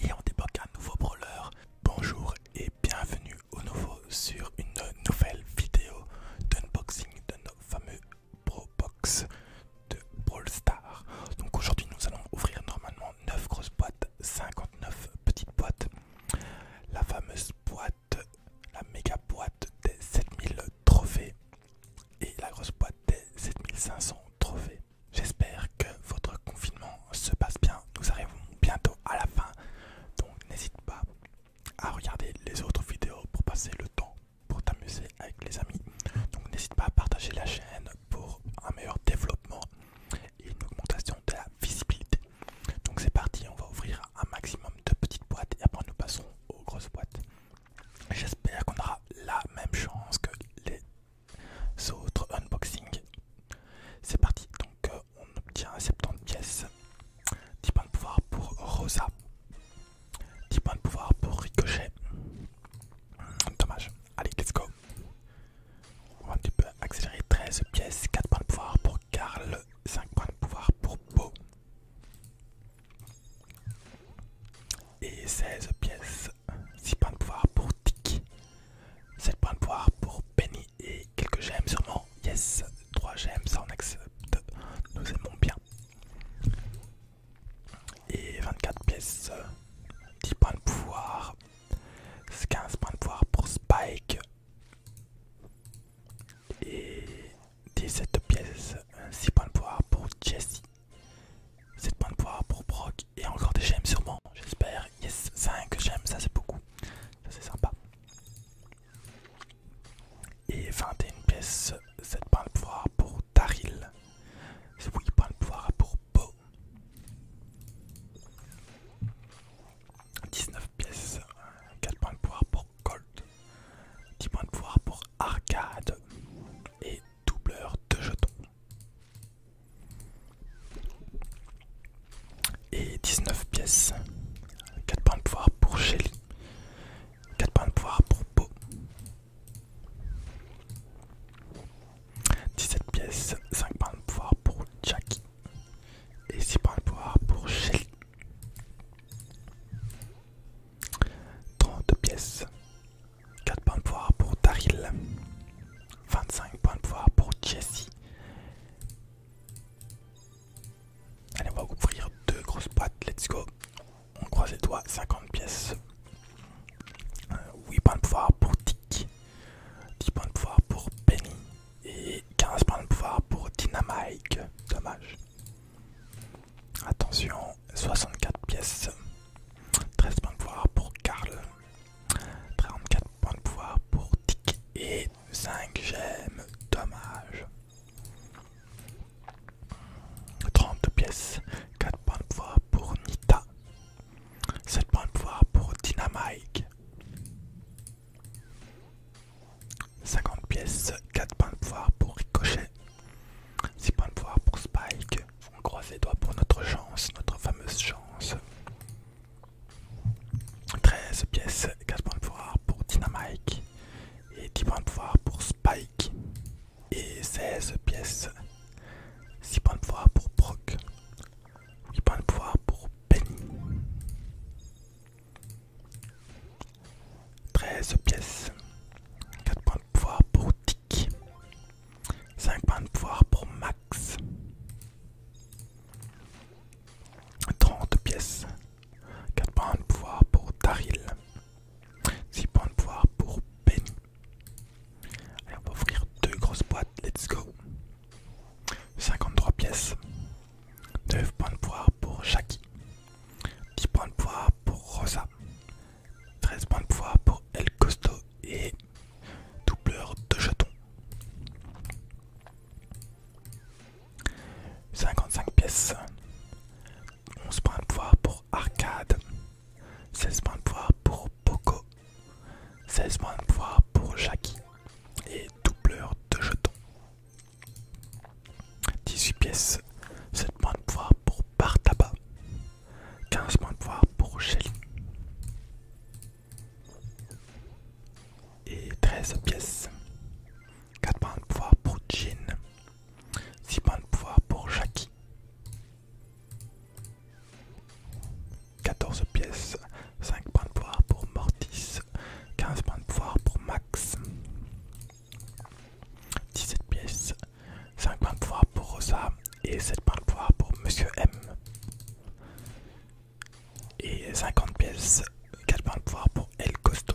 Et on débloque un nouveau brawler. Bonjour et bienvenue au nouveau sur une nouvelle vidéo d'unboxing de nos fameux Pro Box de Brawl Star. Donc aujourd'hui nous allons ouvrir normalement 9 grosses boîtes, 59 petites boîtes. La fameuse boîte, la méga boîte des 7000 trophées et la grosse boîte des 7500 trophées. J'espère que votre confinement se passe bien. Nous arrivons bientôt à la fin. Donc n'hésite pas à regarder les autres vidéos pour passer le temps, pour t'amuser avec les amis. Donc n'hésite pas à partager la chaîne pour un meilleur développement et une augmentation de la visibilité. Donc c'est parti, on va ouvrir un maximum de petites boîtes et après nous passerons aux grosses boîtes. J'espère qu'on aura la même chance que les unboxing. C'est parti, donc euh, on obtient 70 pièces, 10 points de pouvoir pour Rosa, 10 points de pouvoir pour Ricochet. Hmm, dommage, allez, let's go. On va un petit peu accélérer 13 pièces, 4 points de pouvoir pour Carl, 5 points de pouvoir pour Beau. Et 16 pièces, 6 points de pouvoir pour Tiki, 7 points de pouvoir pour Penny et quelques gemmes sûrement. Yes, 3 gemmes, ça on accepte, nous aimons bien. Et 24 pièces, 10 points de pouvoir, 15 points de pouvoir pour Spike. Et 17 pièces, 6 points de pouvoir pour Jessie. 7 points de pouvoir pour Brock et encore des gemmes sûrement, j'espère. Yes, 5 gemmes, ça c'est beaucoup, ça c'est sympa. Et 21 pièces, 7 points de pouvoir pour Taril, 8 points de pouvoir pour Beau, 19 pièces, 4 points de pouvoir pour Colt, 10 points de pouvoir pour Arcade, et doubleur de jetons. Et 19 pièces. 4 points de pouvoir pour Shelly. 4 points de pouvoir pour Po 17 pièces, 5 points de pouvoir pour Jackie. Et 6 points de pouvoir pour Shelly. 32 pièces. 4 points de pouvoir pour Daryl. 25 points de pouvoir pour Jessie. Allez, on va ouvrir deux grosses boîtes. Let's go. On croise les doigts. 50 pièces. 8 euh, points de pouvoir pour Dick. 10 points de pouvoir pour Penny. Et 15 points de pouvoir pour Dynamike. Dommage. Attention, 64 pièces. 13 points de pouvoir pour Karl. 34 points de pouvoir pour Dick. Et 5 gemmes. Dommage. 32 pièces. 4 points de pouvoir pour Nita. 7 points de pouvoir pour Dynamike. 50 pièces, 4 points de pouvoir pour Ricochet, 6 points de pouvoir pour Spike. On croise les doigts pour notre chance, notre fameuse chance. 13 pièces, 4 points de pouvoir pour Dynamite, et 10 points de pouvoir pour Spike. Et 16 pièces, 6 points de pouvoir pour Brock, 8 points de pouvoir pour Penny. 13 pièces, 4 points de pouvoir pour Tic, 5 points de pouvoir pour Max, 30 pièces, 4 points de pouvoir pour Taril, 6 points de pouvoir pour Penny. Allez, on va ouvrir deux grosses boîtes, let's go. 53 pièces, 9 points de pouvoir pour Jackie 10 points de pouvoir pour Rosa, 13 points de pouvoir pour El Costo et doubleur de jetons. 55 pièces, 11 points de pouvoir pour Arcade, 16 points de pouvoir pour Poco, 16 points de pouvoir pour Jackie et doubleur de jetons. 18 pièces, 7 points de pouvoir pour Bartaba, 15 points de pouvoir pour Shelly et 13 pièces, 4 points de pouvoir pour Jean, 6 points de pouvoir pour Jackie, 14 pièces, 5 points de pouvoir pour Mortis, 15 points de pouvoir pour Max, 17 pièces, 5 points de pouvoir pour Rosa et 7 points de pouvoir pour Monsieur M. Et 50 pièces, 4 points de pouvoir pour El Costo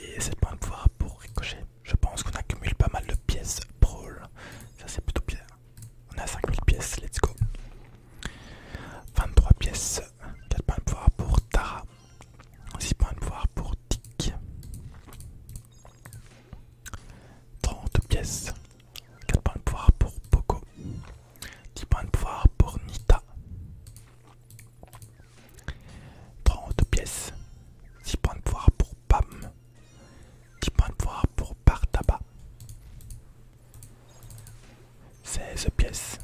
et 7 points de pouvoir pour Ricochet. Je pense qu'on accumule pas mal de pièces brawl, ça c'est plutôt bien. On a 5000 pièces, let's go. 23 pièces 4 points de pouvoir pour Tara. 6 points de pouvoir pour Dick. 30 pièces. 4 points de pouvoir pour Poco. 10 points de pouvoir pour Nita. 30 pièces. 6 points de pouvoir pour Pam. 10 points de pouvoir pour Bartaba 16 pièces.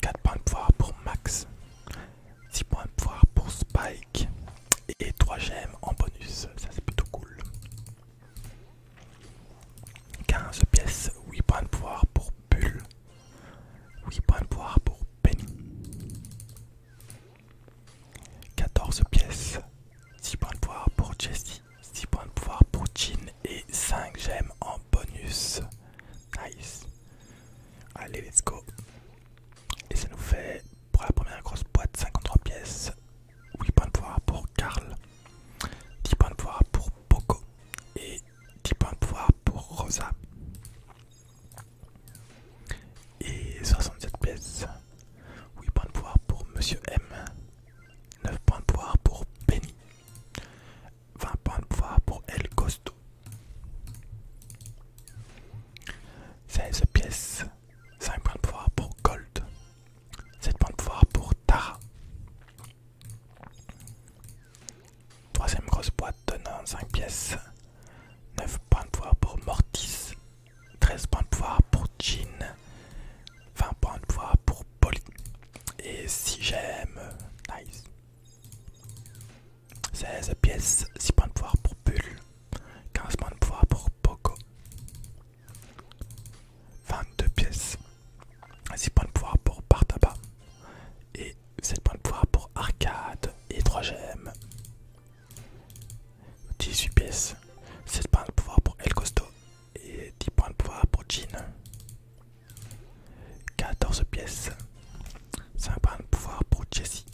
4 points de pouvoir pour Max. 6 points de pouvoir pour Spike. Et 3 gemmes en bonus. Ça c'est plutôt cool. 15 pièces. 8 points de pouvoir pour Bull. 8 points de pouvoir pour Penny. 14 pièces. 6 points de pouvoir pour Jessie. 6 points de pouvoir pour Jin et 5 gemmes en bonus. Nice. Allez, let's go. Et ça nous fait pour la première grosse boîte 53 pièces. 8 points de pouvoir pour Carl 10 points de pouvoir pour Poco. Et 10 points de pouvoir pour Rosa. Et 67 pièces. 8 points de pouvoir pour Monsieur M. 9 points de pouvoir pour Benny. 20 points de pouvoir pour El Costo. 16 pièces. 5 points de pouvoir pour Gold. 7 points de pouvoir pour Tara. Troisième grosse boîte donnant 5 pièces. 9 points de pouvoir pour Mortis. 13 points de pouvoir pour Jean, 20 points de pouvoir pour Polly. Et 6 j'aime, nice. 16 pièces, 6 points de pouvoir pour Bull, 15 points de pouvoir pour Poco, 22 pièces, 6 points de pouvoir pour Partaba, et 7 points de pouvoir pour Arcade, et 3 gemmes, 18 pièces, 7 points de pouvoir pour El Costo, et 10 points de pouvoir pour Jean. 14 pièces. 5 points de pouvoir pour Jessie.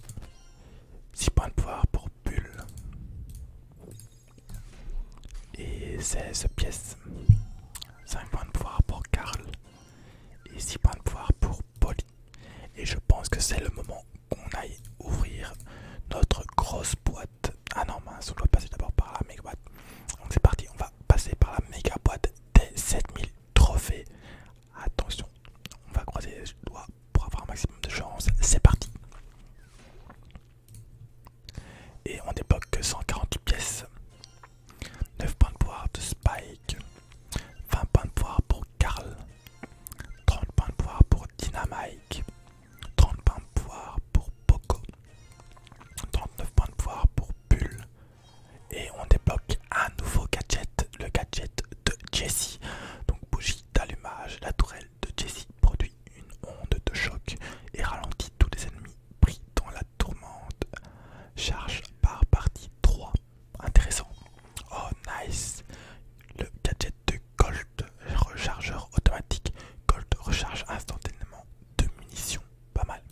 6 points de pouvoir pour Bull. Et 16 pièces. 5 points de pouvoir pour Carl Et 6 points de pouvoir pour Polly. Et je pense que c'est le moment on aille ouvrir notre grosse boîte. Ah non, mince, on doit passer d'abord par la méga boîte. Donc c'est parti, on va passer par la méga boîte des 7000 trophées. Attention, on va croiser les doigts pour avoir un maximum de chance. C'est parti. Et on débloque que 140 pièces. 9 points de pouvoir de Spike. 20 points de pouvoir pour Karl. 30 points de pouvoir pour Dynamite. 30 points de pouvoir pour Poco, 39 points de pouvoir pour Pull. Et on débloque un nouveau gadget, le gadget de Jessie. Donc bougie d'allumage, la tourelle de Jessie produit une onde de choc et ralentit tous les ennemis pris dans la tourmente. Charge par partie 3. Intéressant. Oh nice. Le gadget de Colt rechargeur automatique. Colt recharge instantanément de munitions. Pas mal.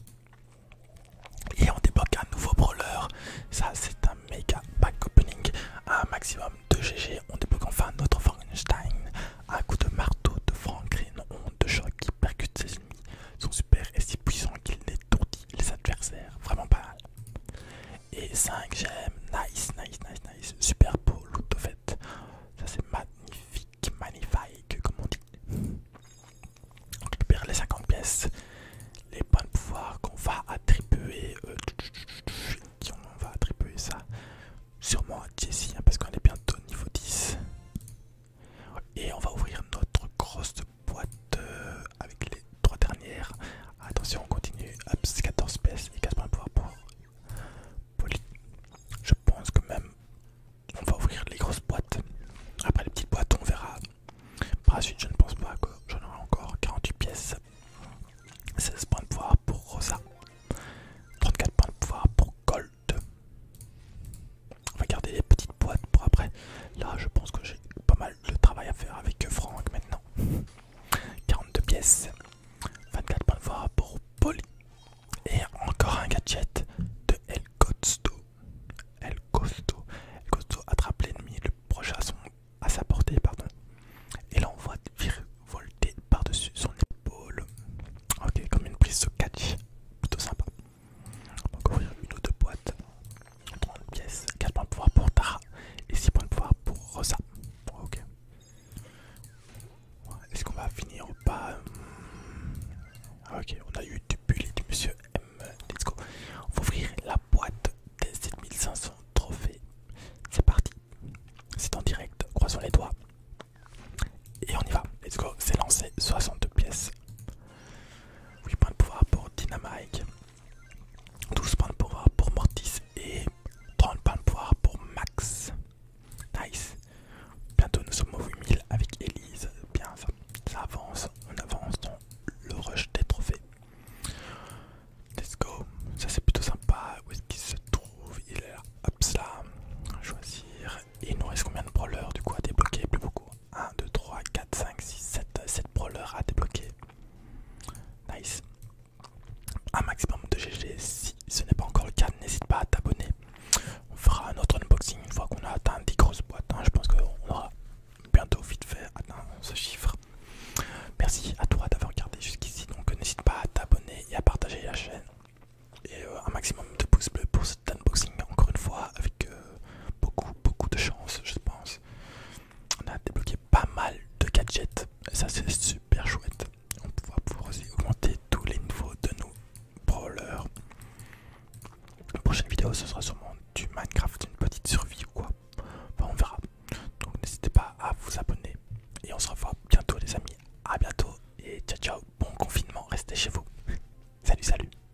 Et on débloque un nouveau brawler. Ça, c'est un méga back opening. Un maximum de GG. On débloque enfin notre Frankenstein. Un coup de marteau de Franklin, honte, de choc qui percute ses ennemis. Son super est si puissant qu'il étourdit les adversaires. Vraiment pas mal et 5 j'aime, nice, nice, nice, nice, super beau loot de fait, ça c'est magnifique, magnifique comme on dit. On récupère les 50 pièces, les points de pouvoir qu'on va attribuer, euh, on va attribuer ça sûrement à Jessie hein, parce qu'on est bientôt niveau 10. Et on va ouvrir notre grosse boîte euh, avec les trois dernières. Attention, on continue. 14 pièces et 15 points de pouvoir pour Je pense que même on va ouvrir les grosses boîtes. Après les petites boîtes, on verra. Par la suite, je ne pense pas que j'en aurai encore 48 pièces. 16 points de pouvoir pour Rosa. 34 points de pouvoir pour Gold. On va garder les petites boîtes pour après. Là, je pense que j'ai pas mal de travail à faire avec Franck maintenant. 42 pièces, 24 points de foi pour Poly Et encore un gadget de El Costo. El Costo. El Costo attrape l'ennemi le prochain à, sa portée pardon, et là l'envoie volter par-dessus son épaule. Ok, comme une prise de catch. Plutôt sympa. encore ouvrir une ou deux boîtes. 30 pièces, 4 points de pouvoir pour Tara et 6 points de pouvoir pour Rosa. ok. Est-ce qu'on va finir ou pas hum? ah, Ok, on a eu du bullet du monsieur M. Let's go. On va ouvrir la boîte des 7500 trophées. C'est parti. C'est en direct, croisons les doigts. Et on y va. Let's go. C'est lancé 62 pièces. 8 points de pouvoir pour Dynamite. 12 points de pouvoir pour Mortis et 30 points de pouvoir pour Max. Nice. Bientôt nous sommes au 8000 avec Elise. Bien ça. Ça avance. On avance dans le rush des trophées. Let's go. Ça c'est plutôt sympa. Où est-ce qu'il se trouve Il est là. Hop Choisir. Et il nous reste combien de brawlers du coup à débloquer Plus beaucoup. 1, 2, 3, 4, 5, 6, 7, 7 brawlers à débloquer. Nice. Un maximum de GG. Si ce n'est pas encore le cas, n'hésite pas à t'abonner. On fera un autre unboxing une fois qu'on a atteint 10 grosses boîtes. Hein. Je pense qu'on aura bientôt vite fait atteint ce chiffre. Merci à toi d'avoir regardé jusqu'ici. Donc n'hésite pas à t'abonner et à partager la chaîne. Et euh, un maximum de pouces bleus pour cet unboxing. Encore une fois, avec euh, euh, beaucoup, beaucoup de chance, je pense. On a débloqué pas mal de gadgets, ça c'est super chouette. On pourra pouvoir aussi augmenter tous les niveaux de nos brawlers. La prochaine vidéo, ce sera sûrement du Minecraft, une petite survie ou quoi. on verra. Donc n'hésitez pas à vous abonner. Et on se revoit bientôt les amis. à bientôt et ciao ciao. Bon confinement, restez chez vous. Salut salut.